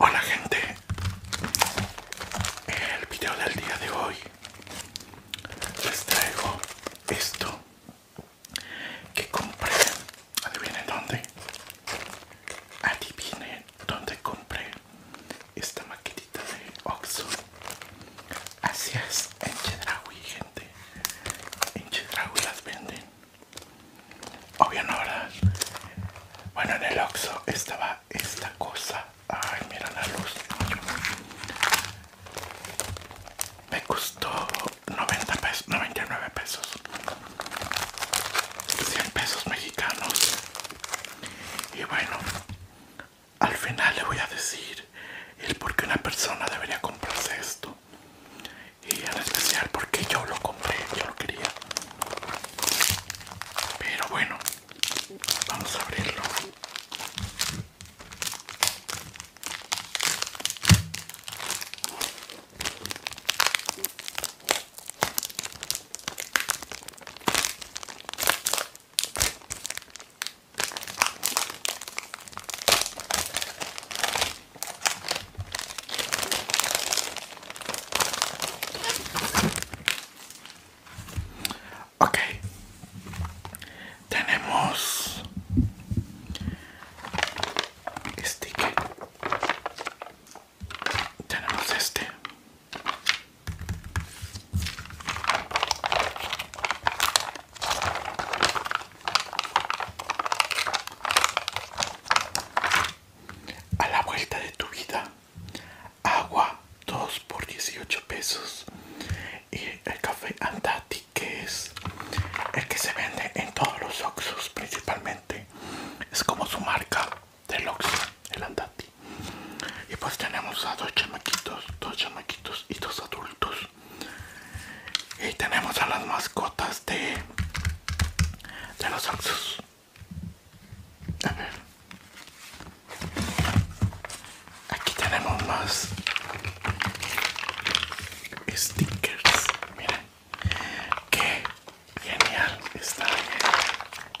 Hola gente, el video del día de hoy les traigo esto que compré, adivinen dónde, adivinen dónde compré esta maquetita de Oxxo. Así es, en Chedraui, gente. En Chedraui las venden. Obvio no, ¿verdad? Bueno, en el Oxxo estaba esta cosa. Ay, mira la luz. Me costó 90 99 pesos. 100 pesos mexicanos. Y bueno, al final le voy a decir el por qué una persona debería comprarse esto. Y en especial porque yo lo compré, yo lo quería. Pero bueno, vamos a abrirlo. Okay, tenemos sticker tenemos este a la vuelta de tu vida agua 2 por 18 pesos y el café andati que es el que se vende en todos los oxos principalmente es como su marca del el Andati. Y pues tenemos a dos chamaquitos, dos chamaquitos y dos adultos. Y tenemos a las mascotas de, de los Oxxos. A ver. Aquí tenemos más stickers. Miren. Qué genial está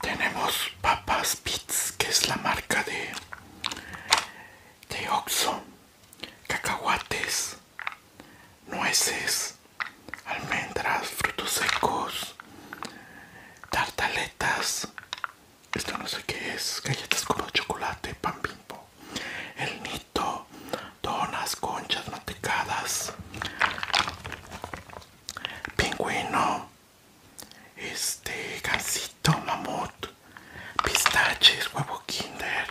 Tenemos papas Pits, que es la marca de, de cacahuates, nueces, almendras, frutos secos, tartaletas, esto no sé qué es, galletas como chocolate, pan bimbo, el nito, donas, conchas, mantecadas, pingüino, este, gansito, mamut, pistaches, huevo kinder,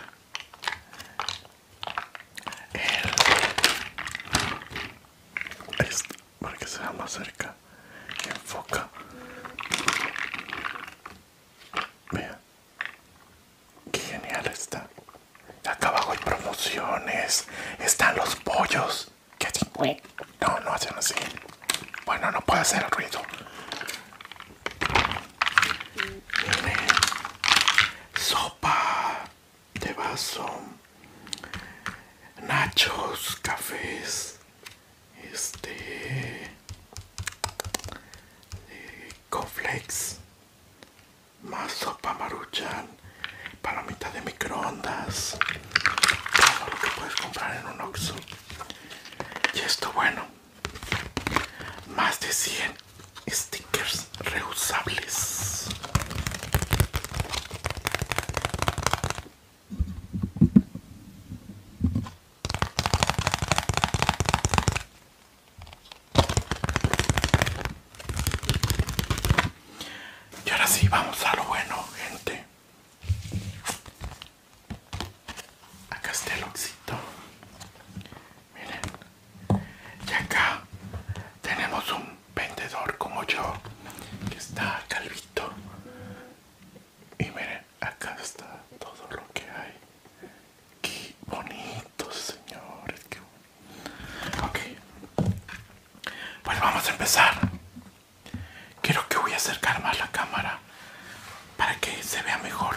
el, este, para que sea más cerca, enfoca, vea Qué genial está. Acá abajo hay promociones. Están los pollos. que No, no hacen así. Bueno, no puede hacer ruido. Sopa de vaso. Nachos, cafés este eh, más sopa maruchan para mitad de microondas todo lo que puedes comprar en un Oxxo y esto bueno más de 100 stickers reusables y ahora sí, vamos a lo bueno, gente. Acá está el oxito. Miren. Y acá tenemos un vendedor como yo, que está calvito. Y miren, acá está todo lo que hay. Qué bonitos señores, qué bonito. Ok. Pues vamos a empezar. Quiero que voy a acercar más la cámara para que se vea mejor.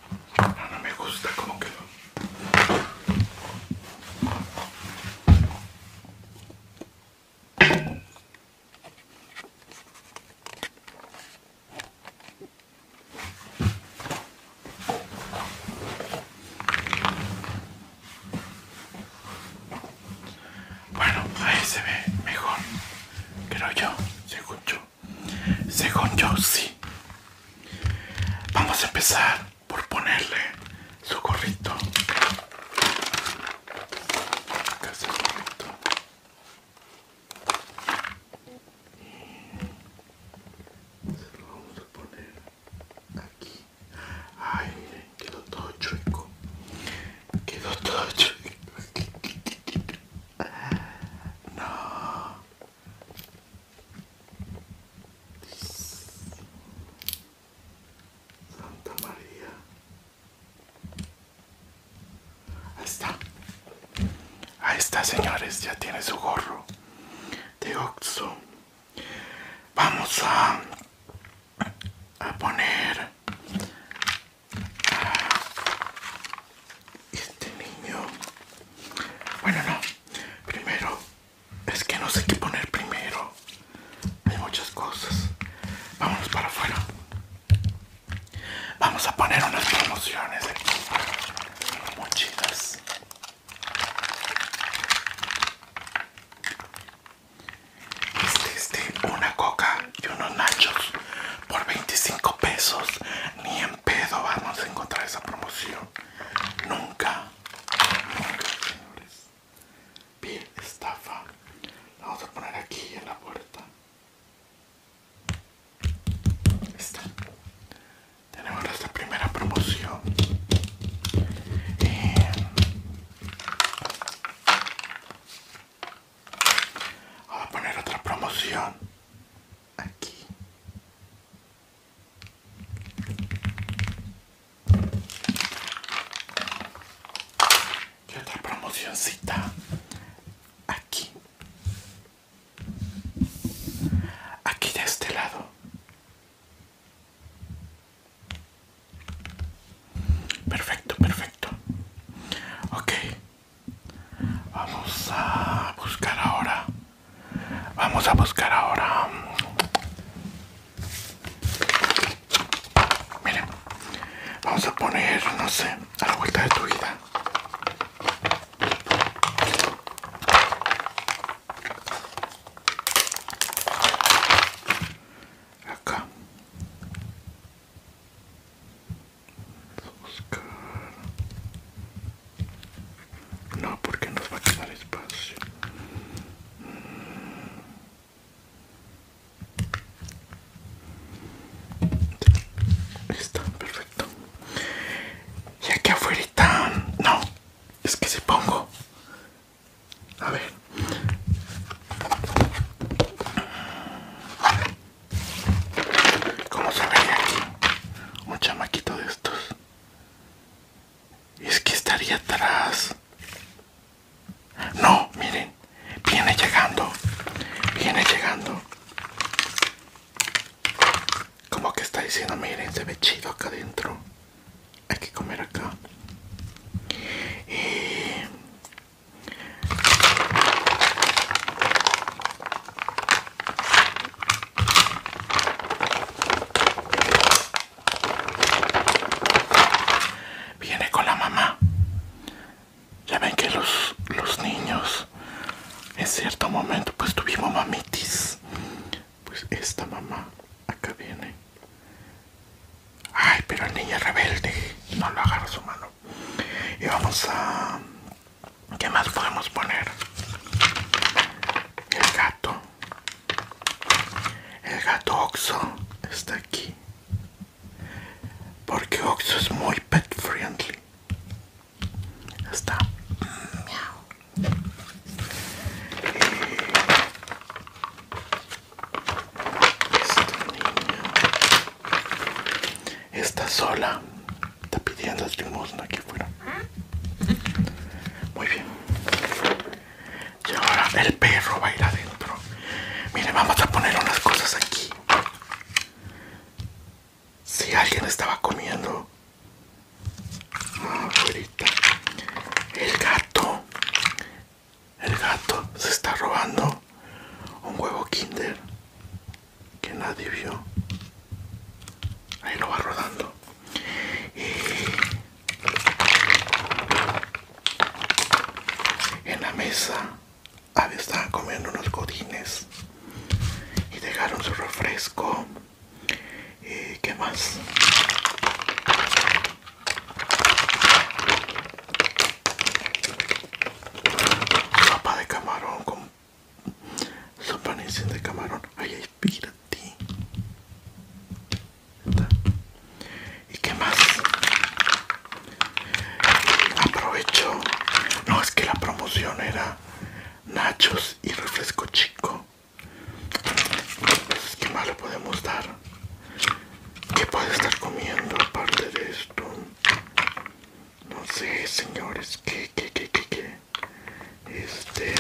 Ah, no, me gusta como quedó. Bueno, ahí se ve mejor, creo yo, se escucho. Según yo, sí. Vamos a empezar por ponerle su gorrito. Acá gorrito. Se lo vamos a poner aquí. Ay, miren, quedó todo chueco. Quedó todo chueco. No, Santa María. Ahí está. Ahí está, señores. Ya tiene su gorro de oxo. Vamos a, a poner este niño. Bueno, no. Primero, es que no sé qué poner primero. Hay muchas cosas. Vámonos para afuera. Vamos a poner unas promociones de Muy chidas. Este, de este, una coca y unos nachos por 25 pesos. Ni en pedo vamos a encontrar esa promoción. Nunca, nunca, señores. estafa. La vamos a poner aquí en la puerta. Está. Tenemos nuestra primera promoción. Vamos a poner otra promoción aquí qué otra promocioncita aquí. Aquí de este lado. Perfecto, perfecto. Ok. Vamos a buscar ahora Vamos a buscar ahora. vamos a poner, no sé, a la vuelta de tu vida. Acá. No, porque nos va a quedar espacio. Mm. Está perfecto. Y aquí afuera, no, es que si pongo, a ver, ¿cómo se ve un chamaquito de estos. Es que estaría atrás. No, miren, viene llegando, viene llegando. Como que está diciendo, miren, se ve chido acá adentro. Hay que comer acá. Viene con la mamá. Ya ven que los, los niños en cierto momento pues tuvimos mamitis. Pues esta mamá acá viene. Ay, pero el niño es rebelde. No lo agarra su mano. Y vamos a ¿Qué más podemos poner? El gato. El gato Oxo está aquí. Porque Oxo es muy pet friendly. Está. Miau. está sola Está pidiendo el limosna aquí afuera. Muy bien. Y ahora el perro va a ir adentro. Mire, vamos a poner unas cosas aquí. Si alguien estaba comiendo ah, afuera, el gato, el gato se está robando un huevo Kinder que nadie vio ahí lo va rodando y en la mesa ah, estaban comiendo unos godines y dejaron su refresco y qué más sopa de camarón con Sopanecen de camarón. ahí ay, pírate. ¿Y qué más? Aprovecho. No, es que la promoción era nachos y refresco chico. ¿Qué más le podemos dar? ¿Qué puede estar comiendo aparte de esto? no sé señores que que qué que este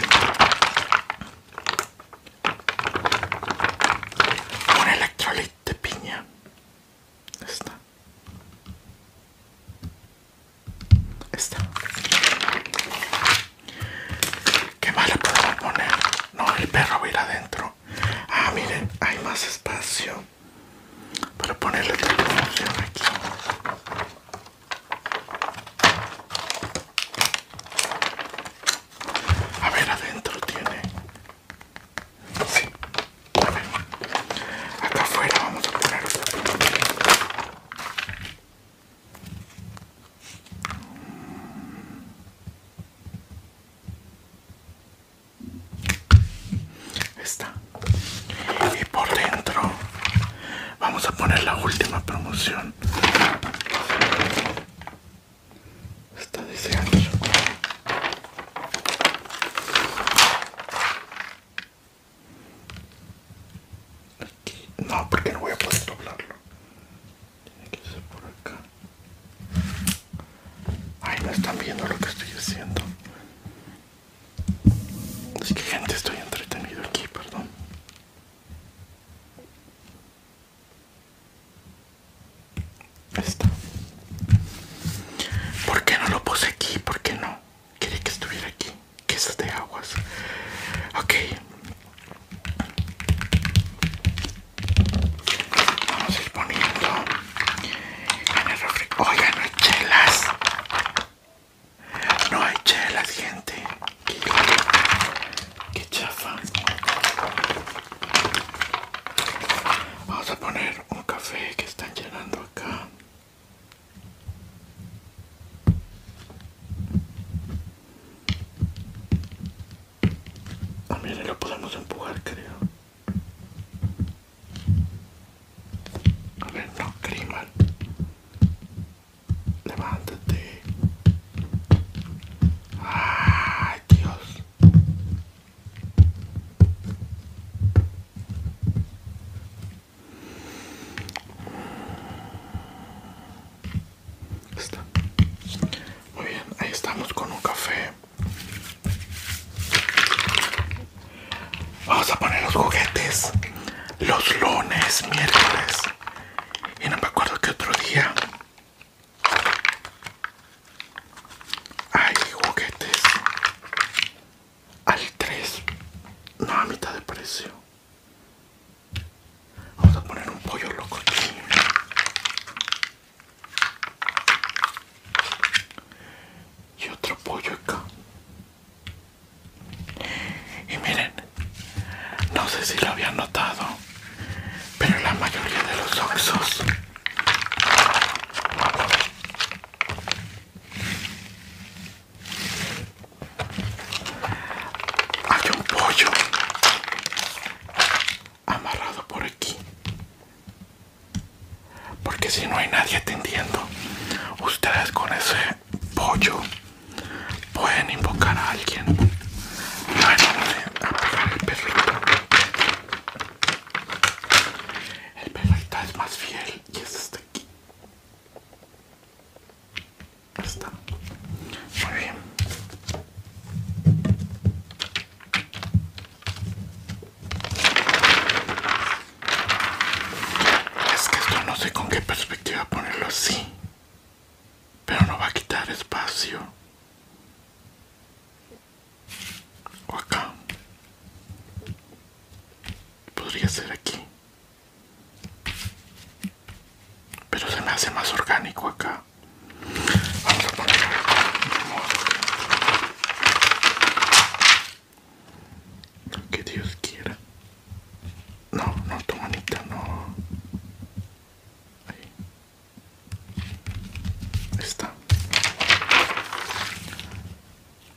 un electrolit de piña esta esta qué más le podemos poner no el perro va a ir adentro ah miren hay más espacio para ponerle aquí a ver, adentro tiene. Sí. A ver. Acá afuera vamos a poner y por dentro vamos a poner la última promoción está diciendo Aquí. no porque no voy a poder doblarlo tiene que ser por acá Ay, no están viendo lo que estoy haciendo. Es que gente estoy entretenido aquí, perdón. Está. ¿Por qué no lo puse aquí? ¿Por qué no? Quería que estuviera aquí. Que de aguas. Ok. Vamos a ir poniendo en el chelas. No hay chela, gente. Qué chafa. Vamos a poner un café que están llenando acá. Ah, lo podemos empujar, creo. A ver, no Levántate. Ay, Dios. Está. Muy bien, ahí estamos con un café Vamos a poner los juguetes los lunes, miércoles y no me acuerdo que otro día hay juguetes al 3, no a mitad de precio. Vamos a poner un pollo loco aquí. Y otro pollo acá. Y miren, no sé si lo habían notado, pero la mayoría de los oxos hay un pollo amarrado por aquí porque si no hay nadie atendiendo ustedes con ese pollo pueden invocar a alguien el perrito es más fiel y es este aquí está muy bien es que esto no sé con qué perspectiva ponerlo así. Pero no va a quitar espacio. O acá. Podría ser aquí. Pero se me hace más orgánico acá. Vamos a lo que Dios quiera. No, no, tu manita no. Ahí. Está.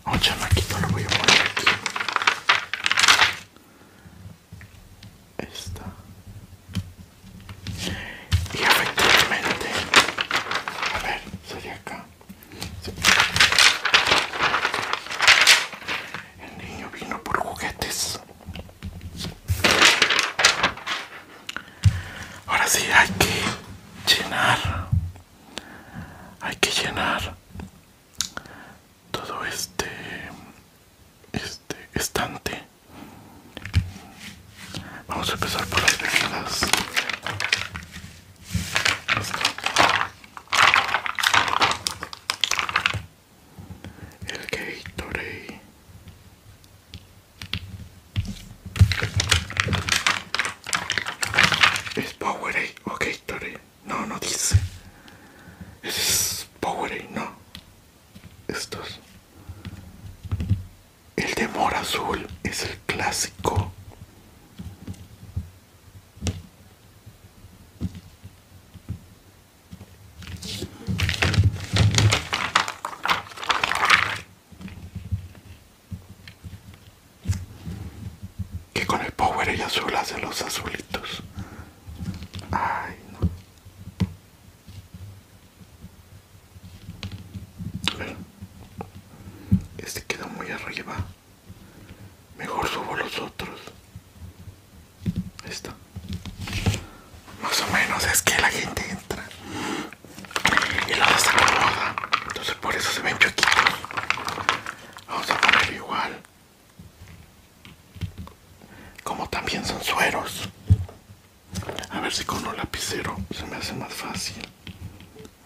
me oh, chamaquito lo voy a poner aquí. Esta. Y efectivamente. A ver, sería acá. El niño vino por juguetes. Ahora sí hay que llenar. Hay que llenar todo este este estante. Vamos a empezar por las bebidas. El Gatorade. ¿Es Powerade o Gatorade? No, no dice. Es Powerade, no. Estos. El de azul es el clásico. Que con el power ella azul hace los azulitos. Ay, no. Este quedó muy arriba. Mejor subo los otros. Ahí está. Más o menos es que la gente entra y lo desacomoda. Entonces por eso se ven chuequitos. Vamos a poner igual. Como también son sueros. A ver si con un lapicero se me hace más fácil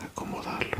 acomodarlos.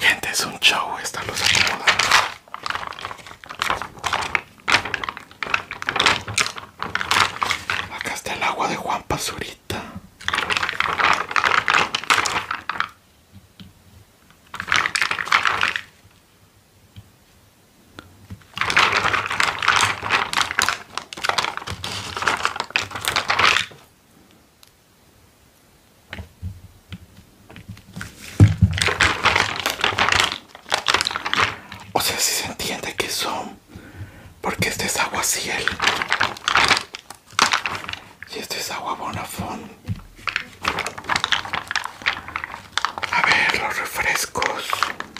Gente, es un show esta los acomodados. Acá está el agua de Juan Pazurita. O sea, si se entiende que son, porque este es agua ciel y este es agua bonafón. A ver, los refrescos.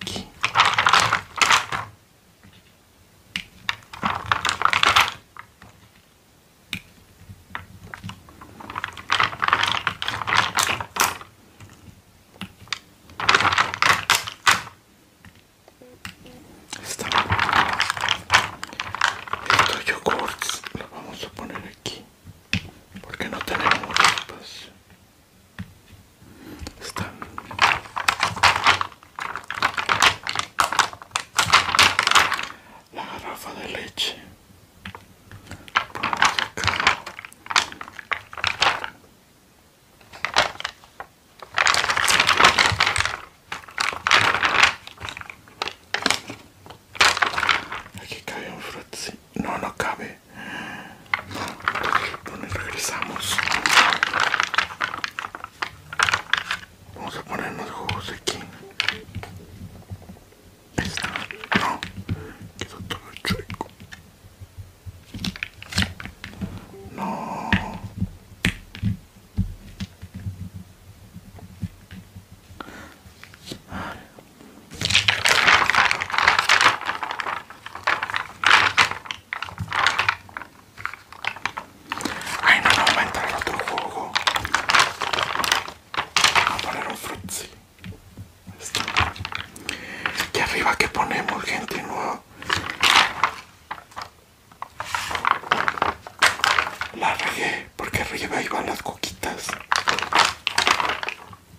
aquí. Está. Estos yogurts los vamos a poner aquí porque no tenemos tapas. Esta La garrafa de leche. Aquí cabe un frutzi. No, no cabe donde, regresamos. Vamos a poner los juegos aquí. No, quedó todo No. Ay no, no, va a entrar otro juego. Vamos a poner un frutzi. aquí arriba que ponemos, gente no La regué porque arriba iban las coquitas.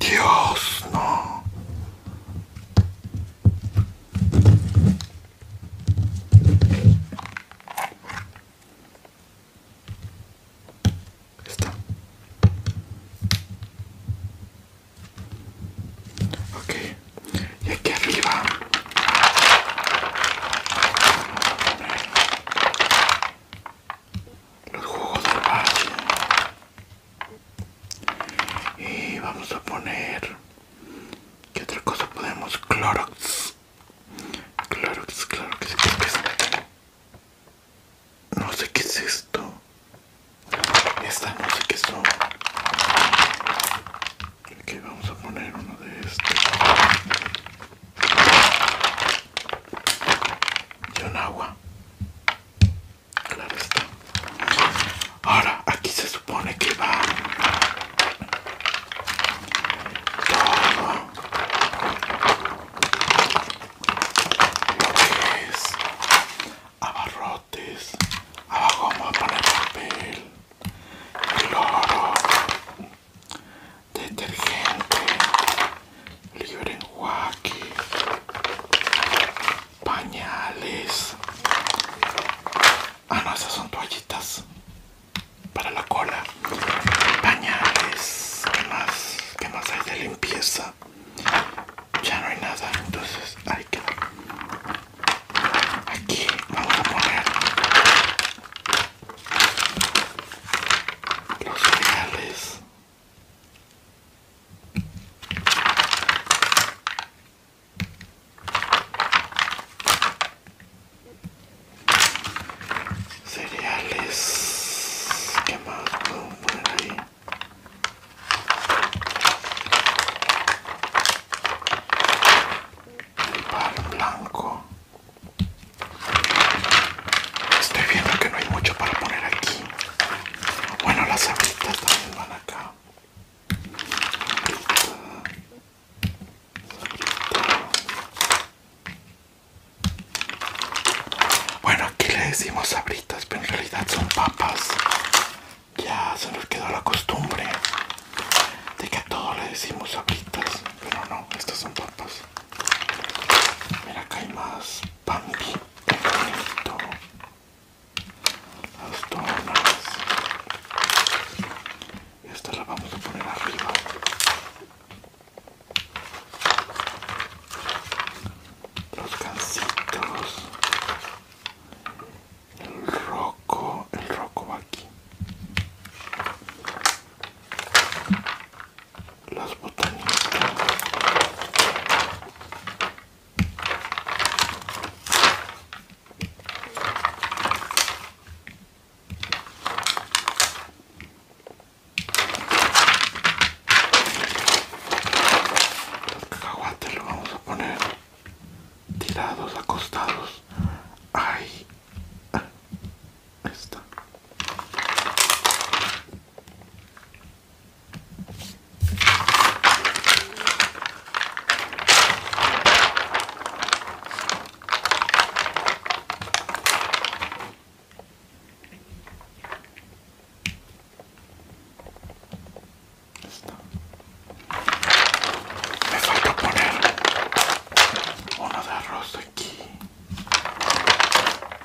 Dios, no. Está. Ok. Y aquí arriba los juegos del valle y vamos a poner ¿Qué otra cosa podemos? Clorox Clorox, Clorox No sé qué es esto Esta no sé qué son ¿Qué vamos a poner uno de estos y un agua claro está ahora aquí se supone que va todo lo abarrotes abajo vamos a poner papel oro detergente, libre pañales. Ah, no, esas son toallitas para la cola. Pañales, que más? que más hay de limpieza? Ya no hay nada, entonces hay que... Aquí vamos a poner los cereales cereales qué más el blanco Estoy viendo que no hay mucho para poner aquí. Bueno, las sabritas también van acá. Bueno, aquí le decimos sabritas, pero en realidad son papas. Ya se nos quedó la costumbre de que a todos le decimos sabritas, pero no, estas son papas. Mira, acá hay más Bambi, las donas. esta la vamos a poner arriba. Los cancitos. El roco, el roco va aquí las botanitas los cacahuates lo vamos a poner tirados acostados ahí Ah, ahí Está. Me falta poner una de arroz aquí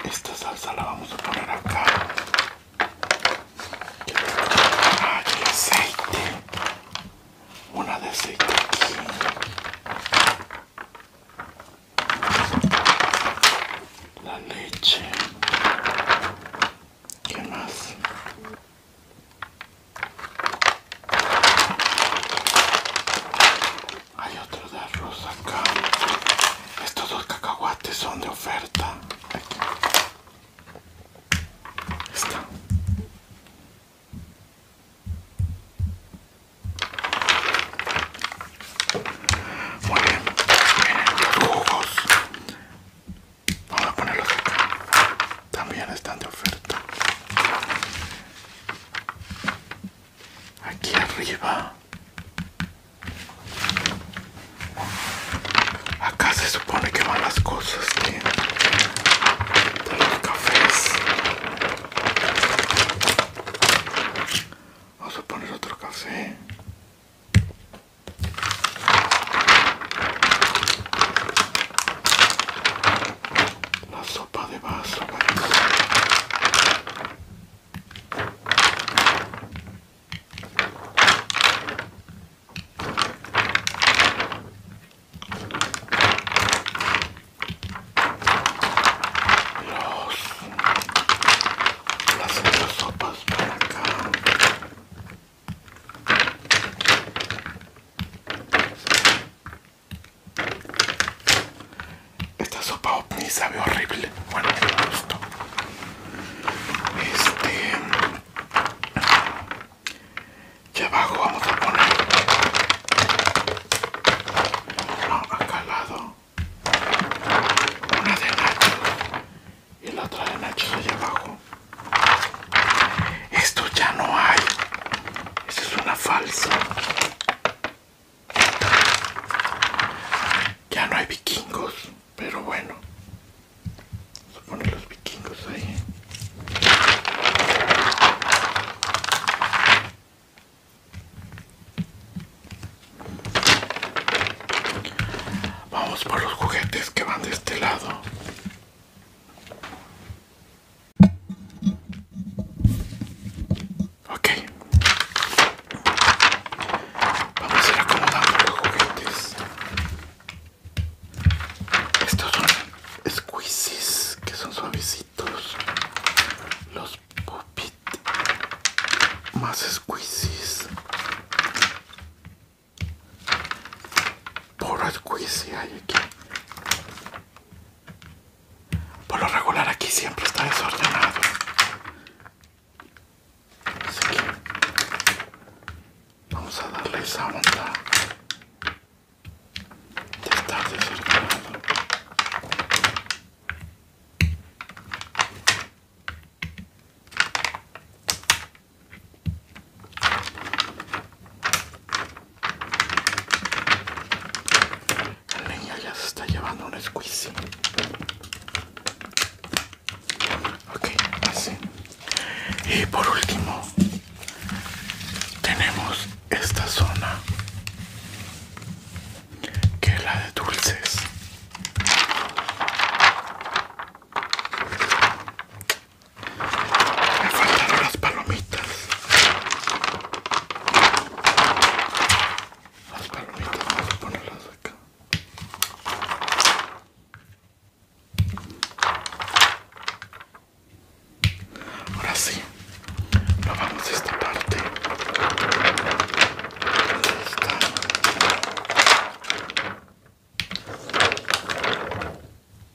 esta salsa la vamos a poner acá ah, aceite una de aceite aquí la leche ¿Qué más? Hay otro de arroz acá. Estos dos cacahuates son de oferta. Está. Muy bien. los jugos. Vamos a ponerlos acá también están de oferta aquí arriba acá se supone que van las cosas de, los cafés vamos a poner otro café la sopa de vaso. las otras sopas para acá. Esta sopa ni sabe horrible. Bueno, que gustó. Este. Y abajo vamos a poner. No, acá lado. Una de Nacho Y la otra de Nacho allá abajo. Esto ya no hay. Esto es una falsa. Ya no hay vikingos, pero bueno. los vikingos ahí. ¿eh? Vamos por los juguetes que van de este lado. Ok. Vamos a ir acomodando los juguetes. Estos son squishies que son suavecitos. Los puppet más squishies Porra, squeeze hay aquí. Por lo regular aquí siempre está desordenado. Así que vamos a darle esa onda de estar desordenado. La niña ya se está llevando un squeezy. Ok, así. Y por último, tenemos esta zona que es la de dulces. Me faltaron las palomitas. Las palomitas vamos a ponerlas acá. Ahora sí, nos vamos a esta parte.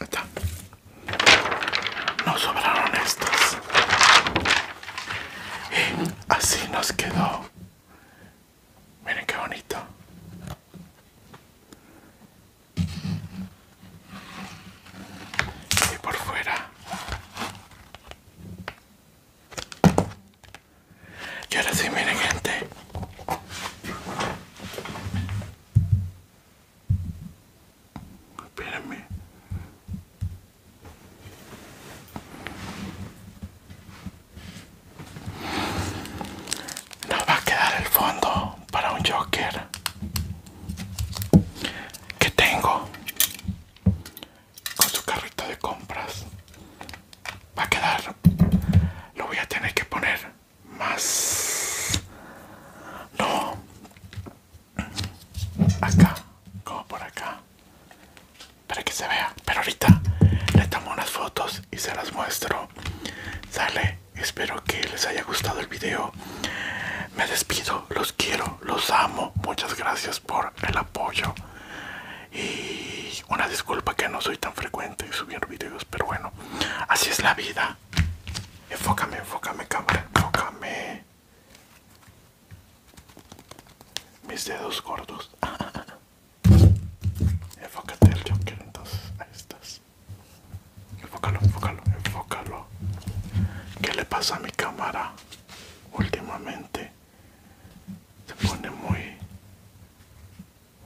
Está. Nos sobraron estas. Y así nos quedó Miren qué bonito. Y por fuera. Y ahora sí, miren gente. Espérenme no va a quedar el fondo para un Joker que tengo con su carrito de compras. Va a quedar, lo voy a tener que poner más. No, acá, como por acá, para que se vea pero ahorita le tomo unas fotos y se las muestro sale espero que les haya gustado el video me despido los quiero los amo muchas gracias por el apoyo y una disculpa que no soy tan frecuente en subir videos pero bueno así es la vida enfócame enfócame cámara enfócame mis dedos gordos Enfócate al Joker entonces. Ahí estás. Enfócalo, enfócalo, enfócalo. ¿Qué le pasa a mi cámara últimamente? Se pone muy,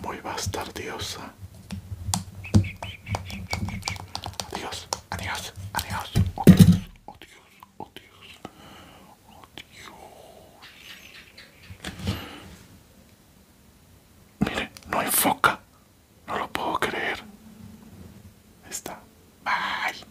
muy bastardiosa. Adiós, adiós, adiós. adiós, adiós, odios, Dios, Mire, no enfoca. No lo puedo creer. Está. Bye.